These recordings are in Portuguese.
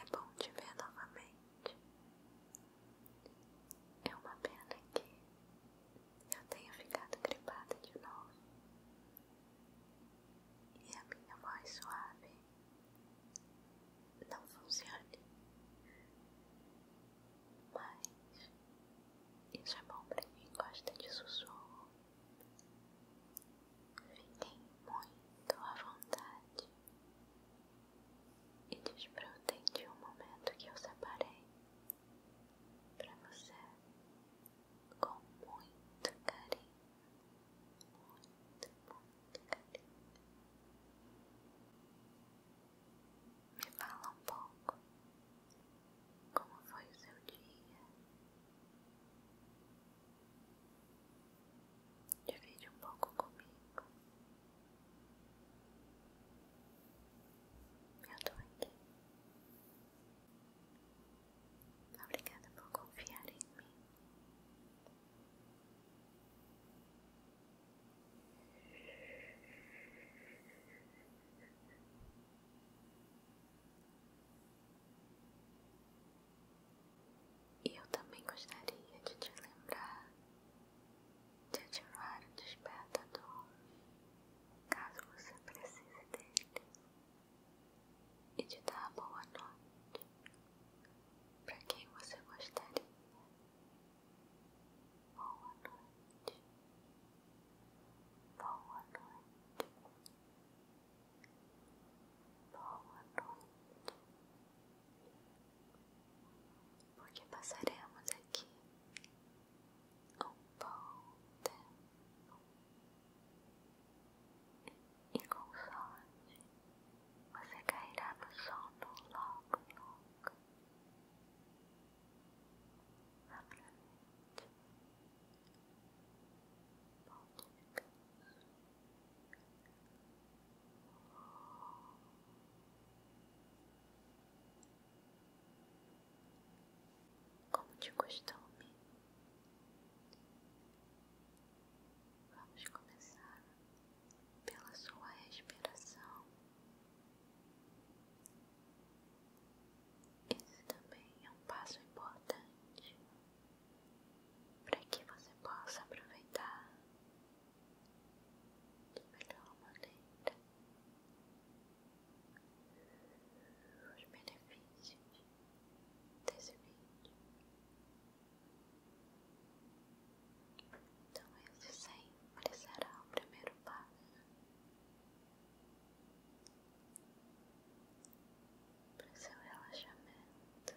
É bom te ver novamente. É uma pena que eu tenha ficado gripada de novo. E a minha voz suave não funcione. Mas isso é bom pra quem gosta de sussurro fiquei muito à vontade e desfrutem de um momento que eu separei para você com muito carinho, muito, muito carinho. Me fala um pouco como foi o seu dia. Divide um pouco comigo. Eu tô aqui. Obrigada por confiar em mim. E eu também gostaria de te lembrar de ativar o despertador caso você precise dele e de dar boa noite para quem você gostaria. Boa noite. Boa noite boa noite, porque passaremos aqui um bom tempo e com sorte você cairá no sono logo, logo. Aproveite. Bom descanso. Como de costume, vamos começar pela sua respiração. Esse também é um passo importante para que você possa aproveitar de melhor maneira os benefícios desse vídeo. Então, esse sempre será o primeiro passo para seu relaxamento.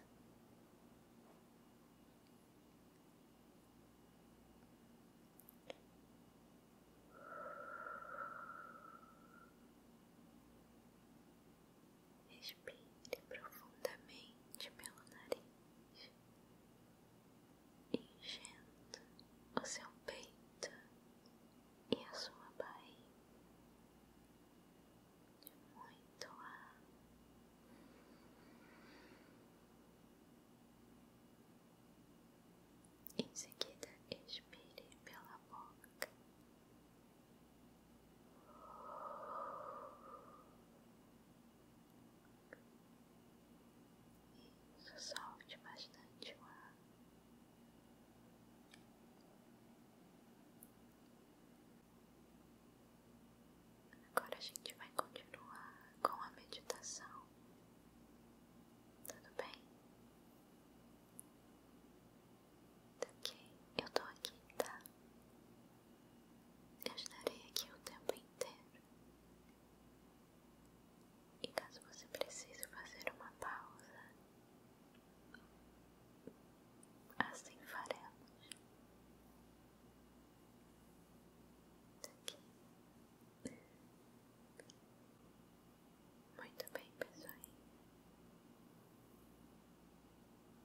Respire profundamente pelo nariz, enchendo o seu peito e a sua barriga muito ar. Em seguida, expire pela boca. e solte bastante o ar. Agora a gente vai continuar com a meditação. Tudo bem? Tá Ok, eu tô aqui, tá? Eu estarei aqui o tempo inteiro. E caso você precise fazer uma pausa, Assim faremos. Muito bem, pessoal.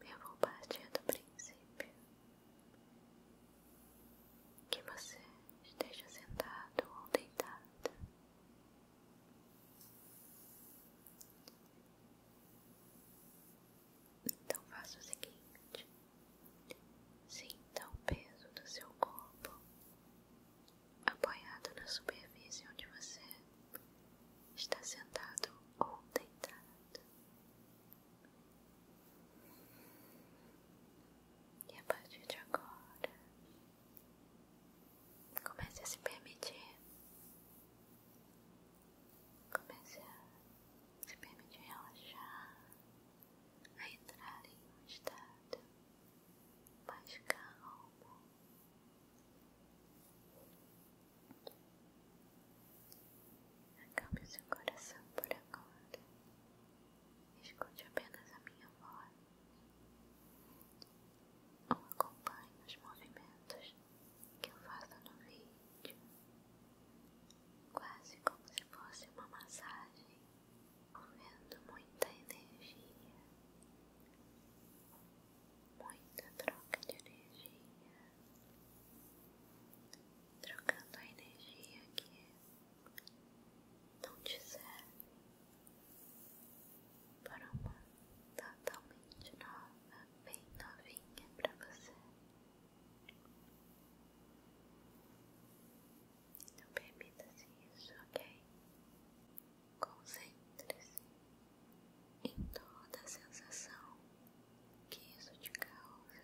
Eu vou partir do princípio que você esteja sentado ou deitado então faça o seguinte: sinta o peso do seu corpo apoiado na superfície onde você está sentado ou deitado. E a partir de agora, comece a se permitir Comece a se permitir relaxar, a entrar em um estado mais calmo. Acalme seu coração por agora. Escute apenas a minha voz. Ou acompanhe os movimentos que eu faço no vídeo, quase como se fosse uma massagem, movendo muita energia, muita troca de energia, trocando a energia que não te serve para uma totalmente nova, bem novinha para você. Então permita-se assim isso, ok? Concentre-se em toda a sensação que isso te causa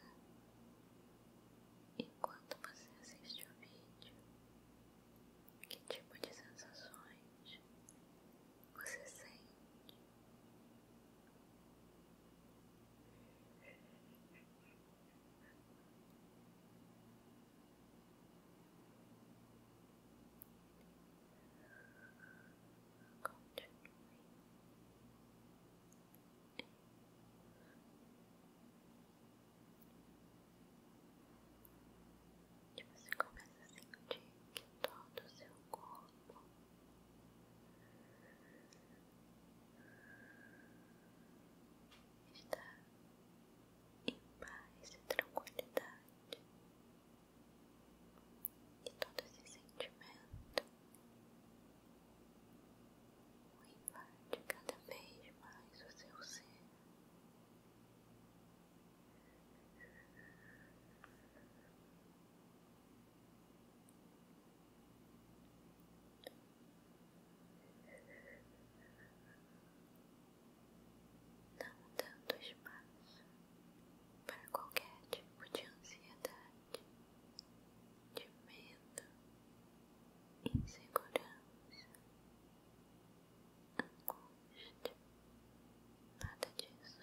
enquanto você assiste o vídeo. Que tipo de sensações você sente continue Relaxando que você começa a sentir que todo o seu corpo está em paz e tranquilidade, e todo esse sentimento o cada vez mais o seu ser não tanto espaço para qualquer tipo de ansiedade, de medo, insegurança, Nada disso.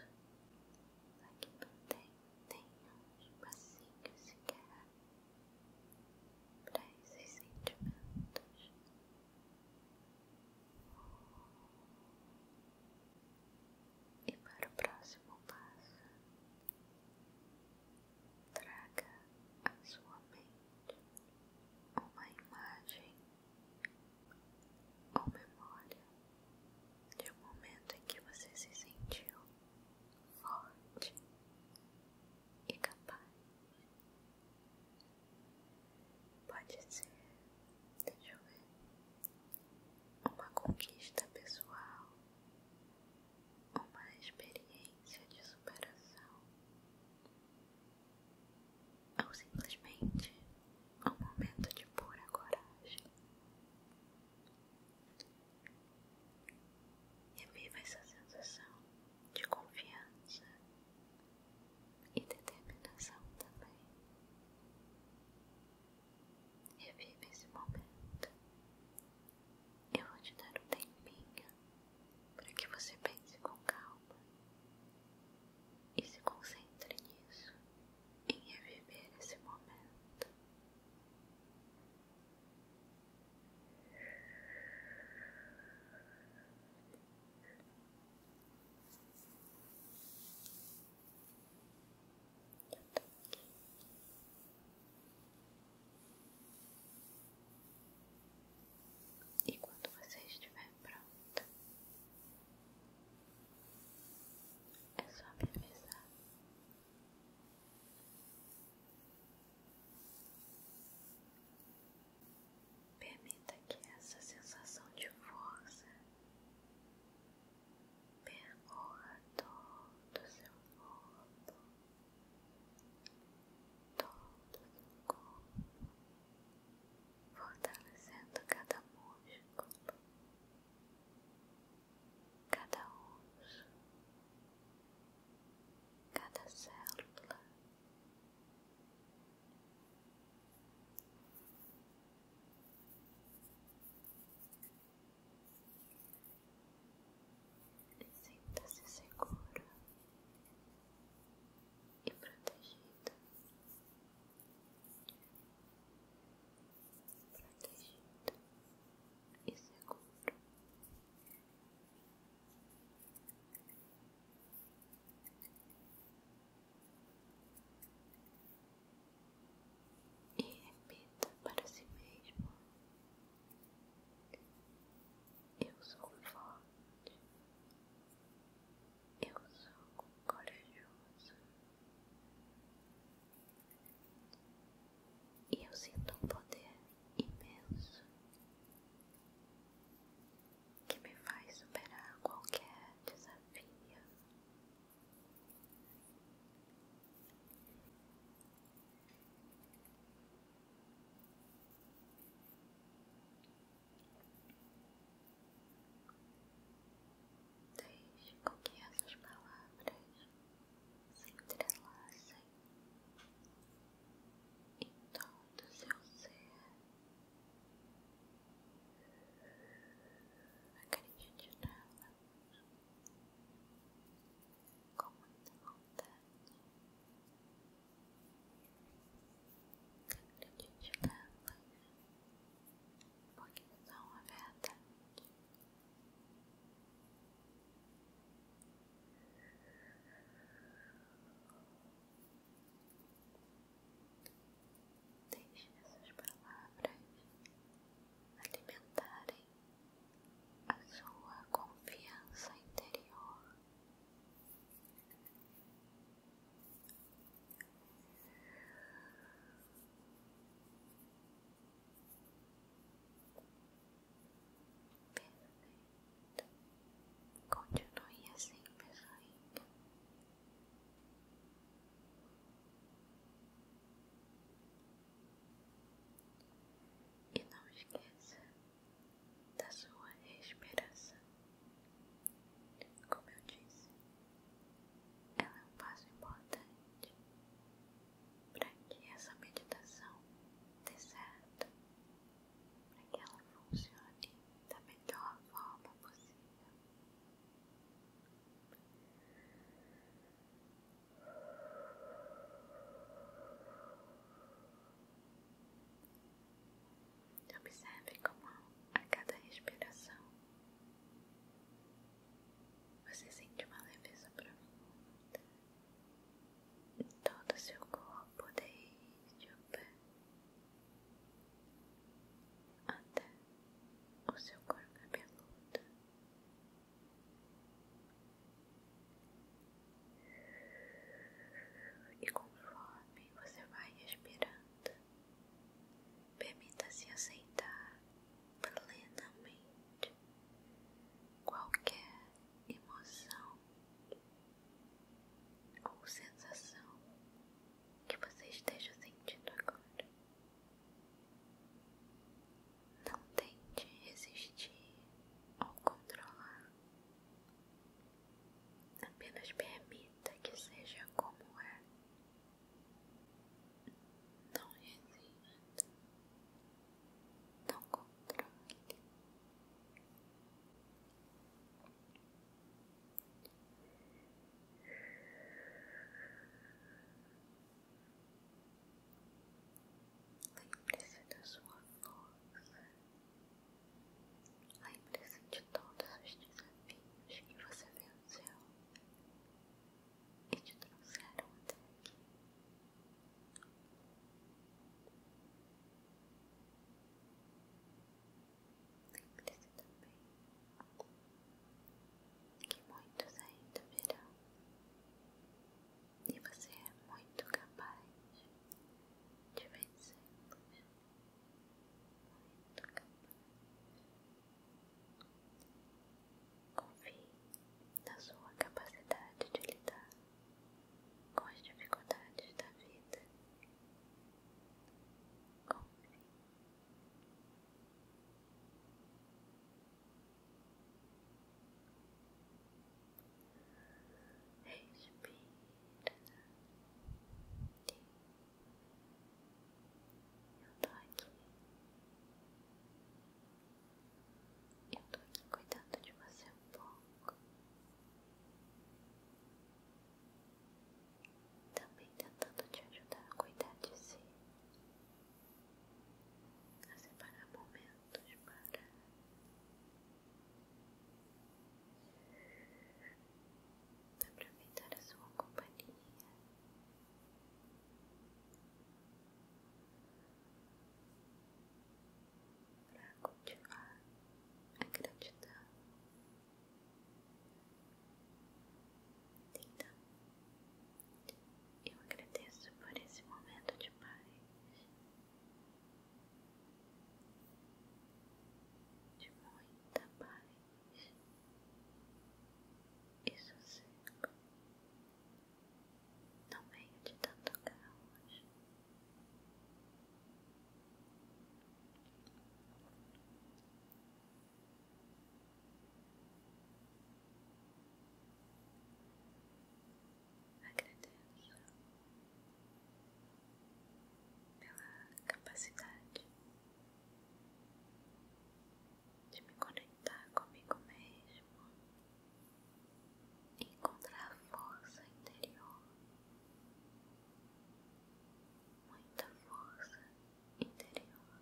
Aqui não tem nenhum espacinho sequer para esses sentimentos. E para o próximo passo, traga à sua mente uma imagem ou memória de um momento em que você se sentiu forte e capaz. Pode ser, deixa eu ver, uma conquista pessoal, uma experiência de superação ou simplesmente um momento de pura coragem. Reviva essa sensação de confiança e determinação também. Reviva esse momento. Eu vou te dar um tempinho para que você pense com calma e se concentre nisso em reviver esse momento. E quando você estiver pronto, é só me avisar. Permita que essa sensação de força percorra todo o seu corpo, todo o corpo fortalecendo cada músculo, cada osso, cada célula. Sinta-se seguro e protegido protegido e seguro. E repita para si mesmo: Eu sou forte. Eu sou corajoso e eu sinto um poder imenso que me faz superar qualquer desafio. Deixe com que essas palavras se entrelacem em todo seu ser. Acredite nela com muita vontade porque são a verdade. Deixe essas palavras alimentarem a sua confiança interior perdoe Continue assim, pessoinha. E não esqueça da sua esperança como eu disse, ela é um passo importante para que essa meditação dê certo, para que ela funcione da melhor forma possível. Observe como a cada respiração você sente uma leveza profunda em todo o seu corpo, desde o pé até o seu corpo cabeludo. E conforme você vai respirando, Permita-se aceitar plenamente qualquer emoção ou sensação que você esteja sentindo agora. Não tente resistir ou controlar. Apenas permita que seja como é. Não resista, não controle. Lembre-se da sua força, a impressão de todos os desafios que você venceu e te trouxeram até aqui. Lembre-se também que muitos ainda virão e você é muito capaz de vencer. Confie na sua capacidade de lidar com as dificuldades da vida. Confie. Respira. Eu tô aqui. Eu tô aqui cuidando de você um pouco. Também tentando te ajudar a cuidar de si. A separar momentos para aproveitar a sua companhia. Para cultivar a gratidão, então eu agradeço por esse momento de paz, de muita paz e sossego no meio de tanto caos. Agradeço pela capacidade de me conectar comigo mesmo, encontrar força interior, muita força interior.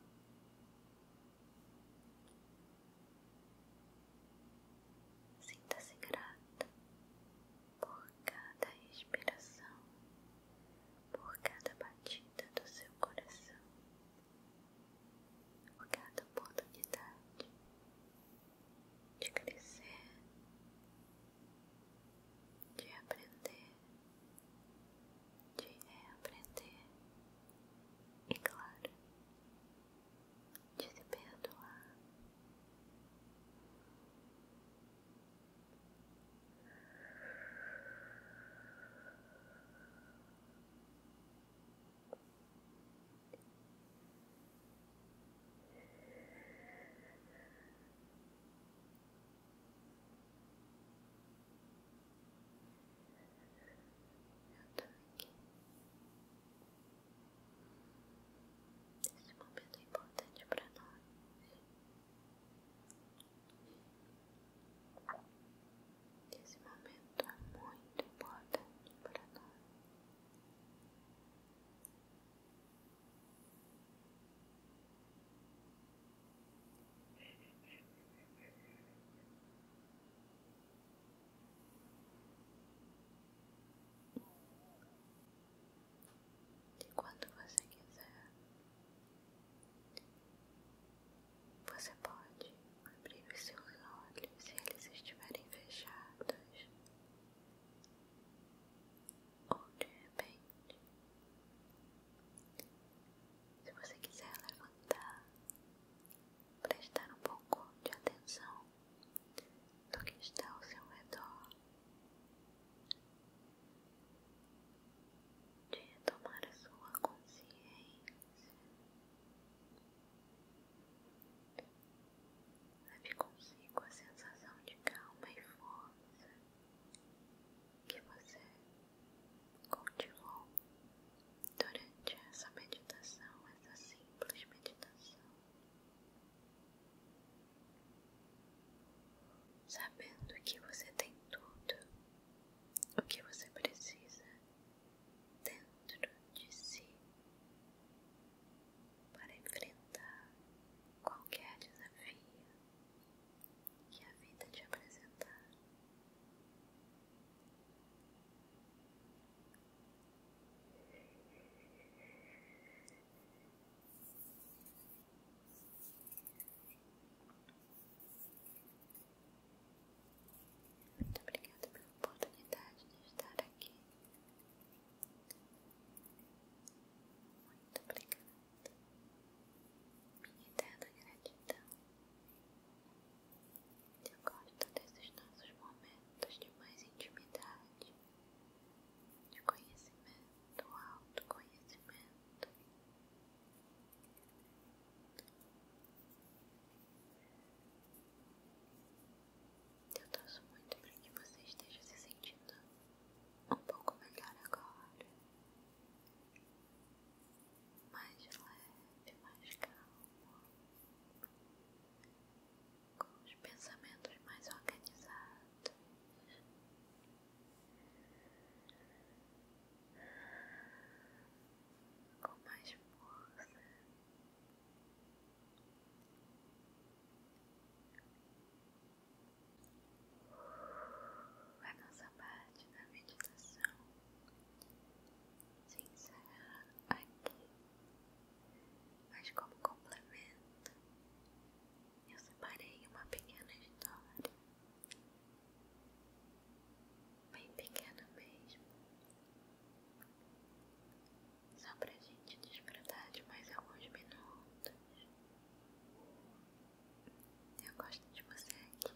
Sinta-se grata por cada respiração, por cada batida do seu coração, por cada oportunidade de crescer, de aprender, de reaprender e, claro, de se perdoar tô aqui. Esse momento é importante para nós. Esse momento é muito importante para nós. E quando você quiser, você pode abrir os seus olhos se eles estiverem fechados, ou de repente, se você quiser levantar, prestar um pouco de atenção do que está ao seu redor de retomar a sua consciência. Leve consigo a sensação de calma e força que você cultivou durante essa meditação, essa simples meditação sabendo que você tem tudo o que você precisa dentro de si para enfrentar qualquer desafio que a vida te apresentar. Muito obrigada pela oportunidade de estar aqui. Muito obrigada. Minha eterna gratidão. Eu gosto desses nossos momentos de mais intimidade, de conhecimento, autoconhecimento. Eu torço muito para que você esteja se sentindo um pouco melhor agora. Mais leve, mais calmo. Com os pensamentos mais organizados com mais força. A nossa parte da meditação se encerra aqui, mas como complemento, eu separei uma pequena história, bem pequena mesmo, só pra gente desfrutar de mais alguns minutos. Eu gosto de você aqui,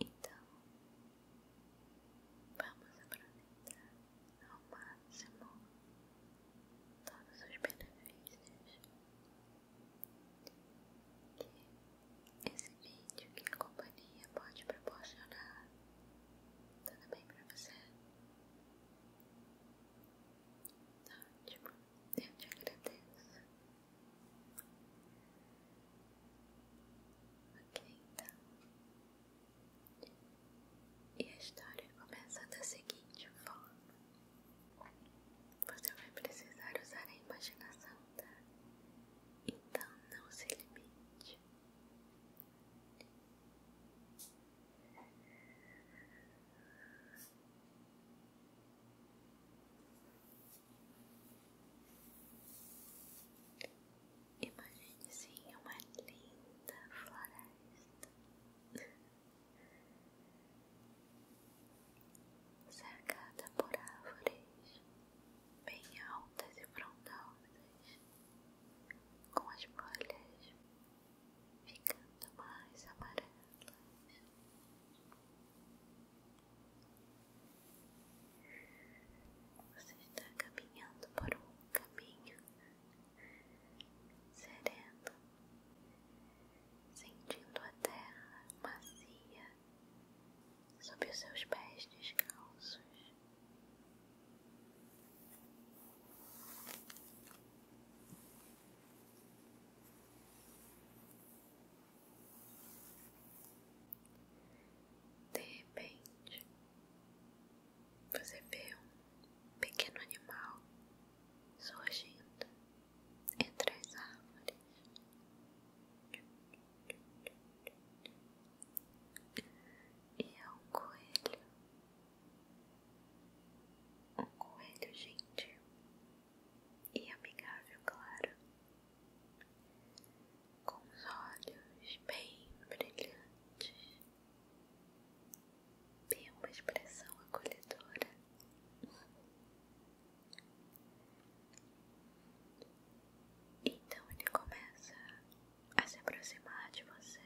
então vamos aproveitar ao máximo todos os benefícios que esse vídeo, que a companhia pode proporcionar. Tá tudo bem pra você? Tá ótimo, eu te agradeço. Ok, então. E a história começa da seguinte forma. Você vai precisar usar a imaginação, tá? Então não se limite. Imagine sim uma linda floresta cercada por árvores bem altas e frondosas, com as folhas ficando mais amarelas. Você está caminhando por um caminho sereno, sentindo a terra macia sob os seus pés descalços. De repente, você vê um pequeno animal surgindo entre as árvores. E é um coelho, um coelho gentil e amigável, claro, com os olhos bem brilhantes tem uma expressão acolhedora. Então ele começa a se aproximar de você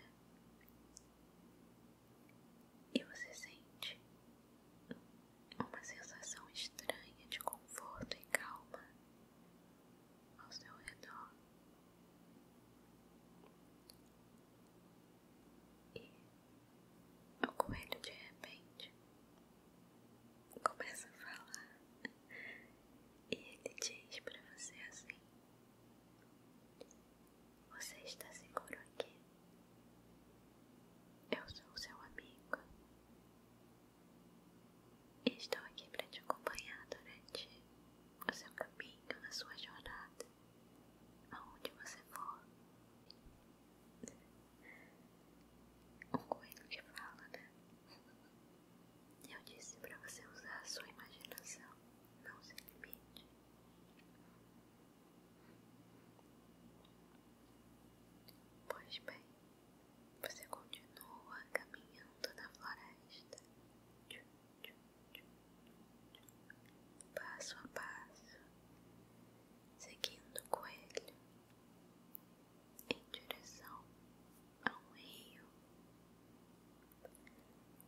e você sente uma sensação estranha de conforto e calma ao seu redor. O coelho de repente começa a falar e ele diz para você assim: Você está seguro aqui? Eu sou seu amigo e estou aqui para te acompanhar durante o seu caminho, na sua jornada aonde você for. o coelho que fala, né? Eu disse para você usar a sua imaginação, não se limite. Pois bem, você continua caminhando na floresta. Tchum, tchum passo a passo, seguindo o coelho em direção a um rio,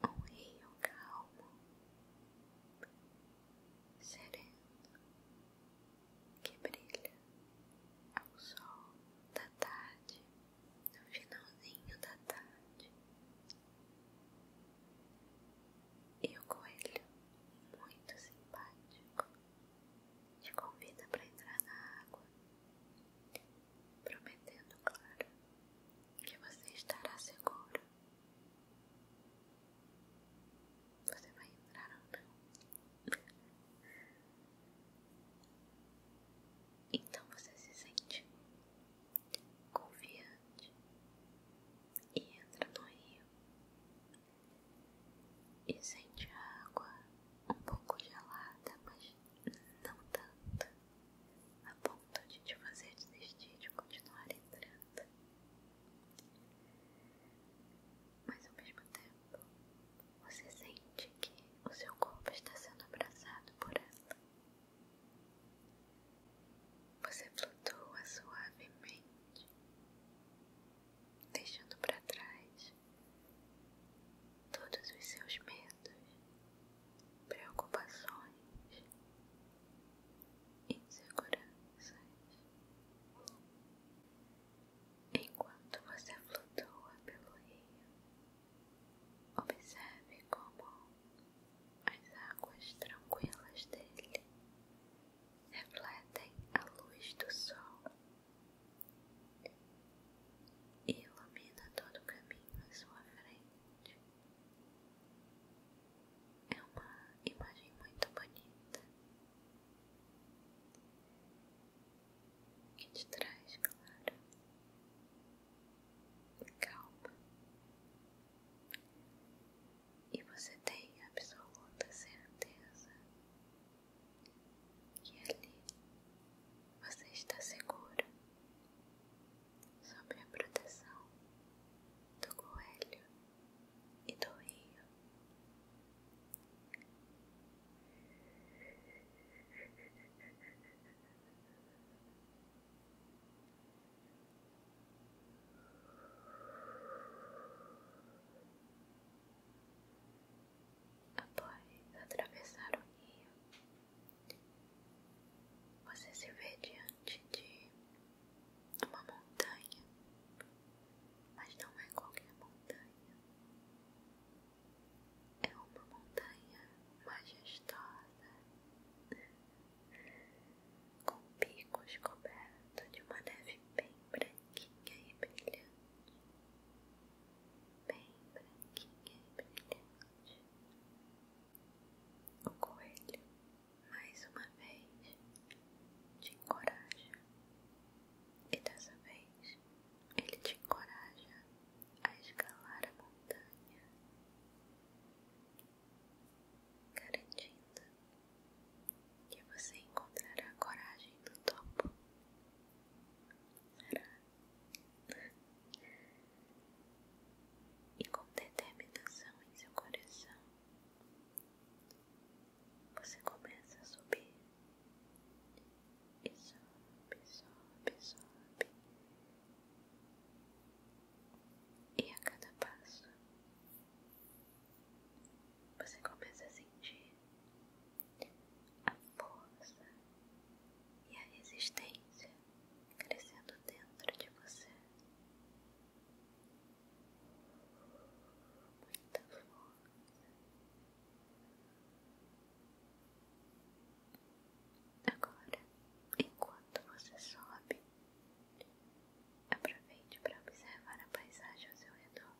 um rio calmo, sereno, que brilha ao sol da tarde, no finalzinho da tarde. E o coelho, muito simpático, te convida para entrar na água, prometendo, claro, que você estará seguro. Você vai entrar ou não? Então você se sente confiante e entra no rio e sente a água um pouco gelada, mas não tanto a ponto de te fazer desistir de continuar entrando. Mas ao mesmo tempo, você sente que o seu corpo está sendo abraçado por ela. Você flutua suavemente, deixando para trás todos os seus medos, preocupações, inseguranças. Enquanto você flutua pelo rio, observe como as águas tranquilas dele refletem a luz do sol e ilumina todo o caminho à sua frente. É uma imagem muito bonita e te traz, claro, calma e você tem absoluta certeza que ali você está segura sob a proteção do coelho e do rio. Após atravessar o rio, você se vê diante de uma montanha, mas não é qualquer montanha, é uma montanha majestosa com picos cobertos de uma neve bem branquinha e brilhante, bem branquinha e brilhante. O coelho, mais uma vez, te encoraja, e dessa vez ele te encoraja a escalar a montanha garantindo que você encontrará a coragem do topo. Será? E com determinação em seu coração, você começa a subir e sobe, sobe, sobe. E a cada passo você começa a sentir a força e a resistência crescendo dentro de você. Muita força. Agora, enquanto você sobe Aproveite para observar a paisagem ao seu redor.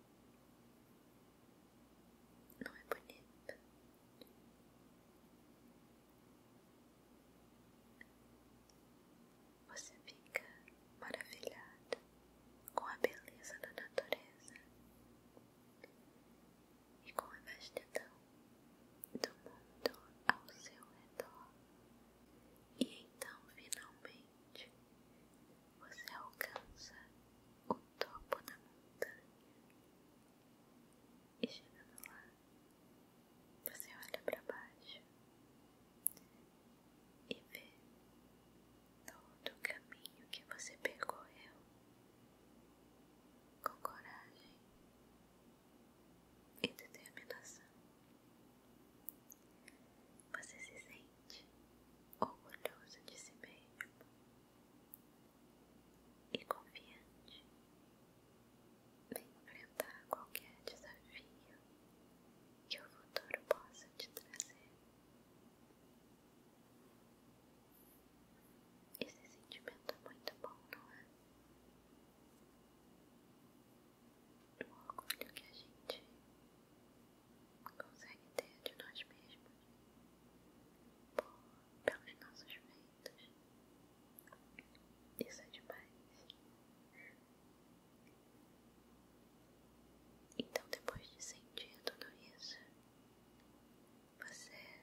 Não é bonito? Você fica maravilhado com a beleza da natureza e com a vastidão do mundo ao seu redor. E então, finalmente, você alcança o topo da montanha. E chegando lá, você olha para baixo e vê todo o caminho que você percorreu com coragem e determinação. Você se sente orgulhoso de si mesmo e confiante em enfrentar qualquer desafio que o futuro possa te trazer. Esse sentimento é muito bom, não é? Do orgulho que a gente consegue ter de nós mesmos, pelos nossos feitos. Isso é demais. Então, depois de sentir tudo isso, você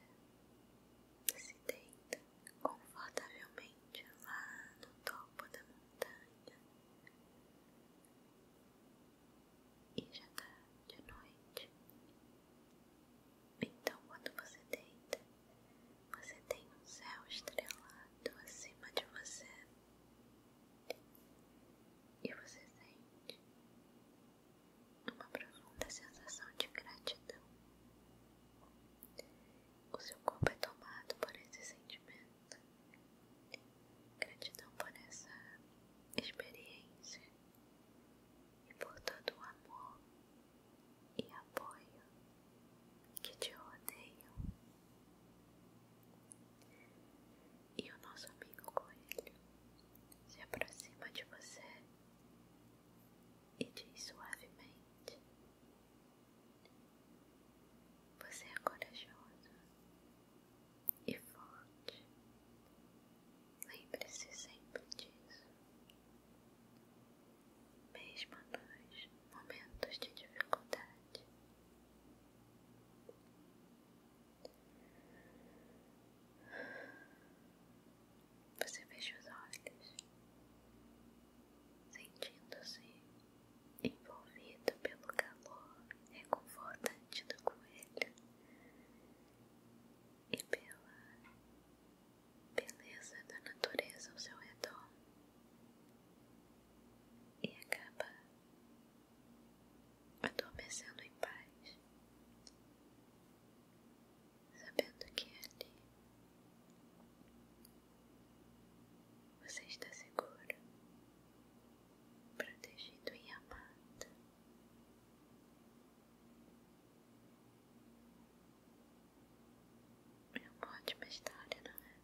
se deita confortavelmente lá no topo da montanha. E já tá de noite. Então, quando você deita, você tem um céu estrelado acima de você. E você sente uma profunda sensação de gratidão. O seu corpo é tomado por esse sentimento. Gratidão por essa experiência e por todo o amor e apoio que te rodeiam. E o nosso amigo coelho se aproxima de você e diz suavemente: você é corajoso e forte. Lembre-se sempre disso. Mesmo nos momentos de dificuldade. Você fecha os olhos sentindo-se envolvido pelo calor reconfortante do coelho e pela beleza da natureza ao seu redor e acaba adormecendo em paz, sabendo que ali você está seguro, protegido e amado. É uma ótima história, não é?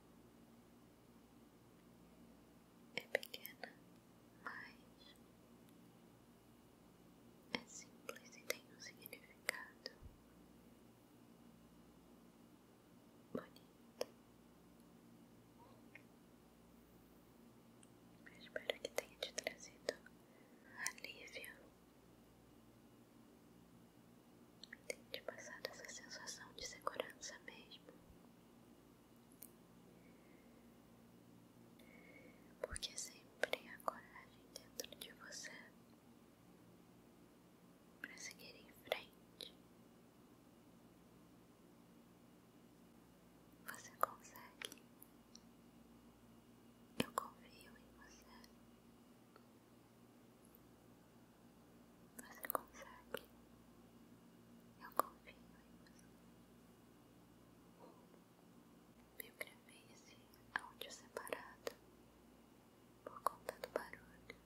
É pequena, mas é simples e tem um significado bonito. espero que tenha te trazido alívio e tenha te passado essa sensação de segurança mesmo. Porque sempre a coragem dentro de você para seguir em frente. Você consegue. Eu confio em você. Você consegue. Eu confio em você. Eu gravei esse áudio separado por conta do barulho,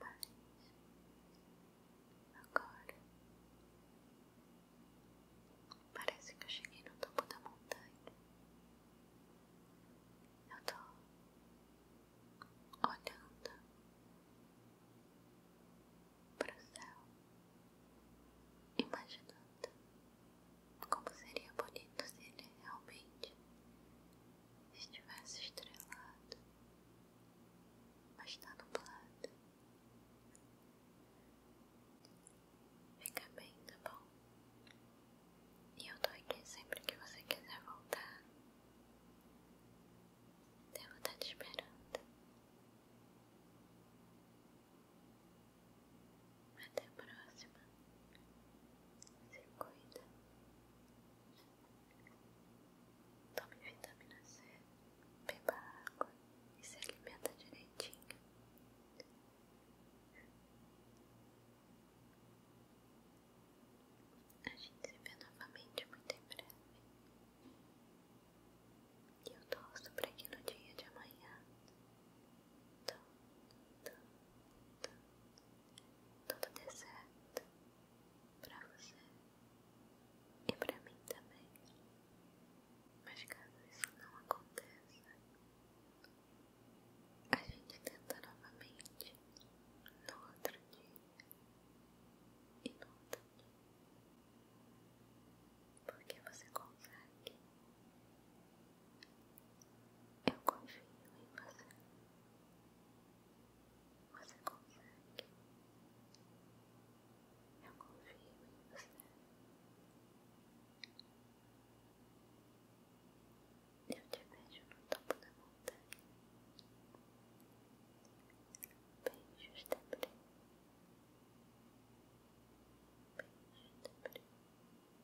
mas agora parece que eu cheguei no topo da montanha. Eu tô olhando para o céu, imaginando como seria bonito se ele realmente estivesse estrelado, mas está nublado. Fica bem, tá bom? E eu tô aqui sempre que você quiser voltar. Devo estar tá te esperando. Até a próxima. Se cuida. Tome vitamina C, beba água e se alimenta direitinho. A gente se vê novamente muito em breve. E eu torço para que no dia de amanhã. Então, então tudo dê certo pra você e pra mim também. Mas caso isso não aconteça, a gente tenta novamente no outro dia e no outro dia. Porque você consegue eu confio em você. Você consegue. Eu confio em você. Eu te beijo no topo da montanha. Beijos de beijo, Beijos de brilho.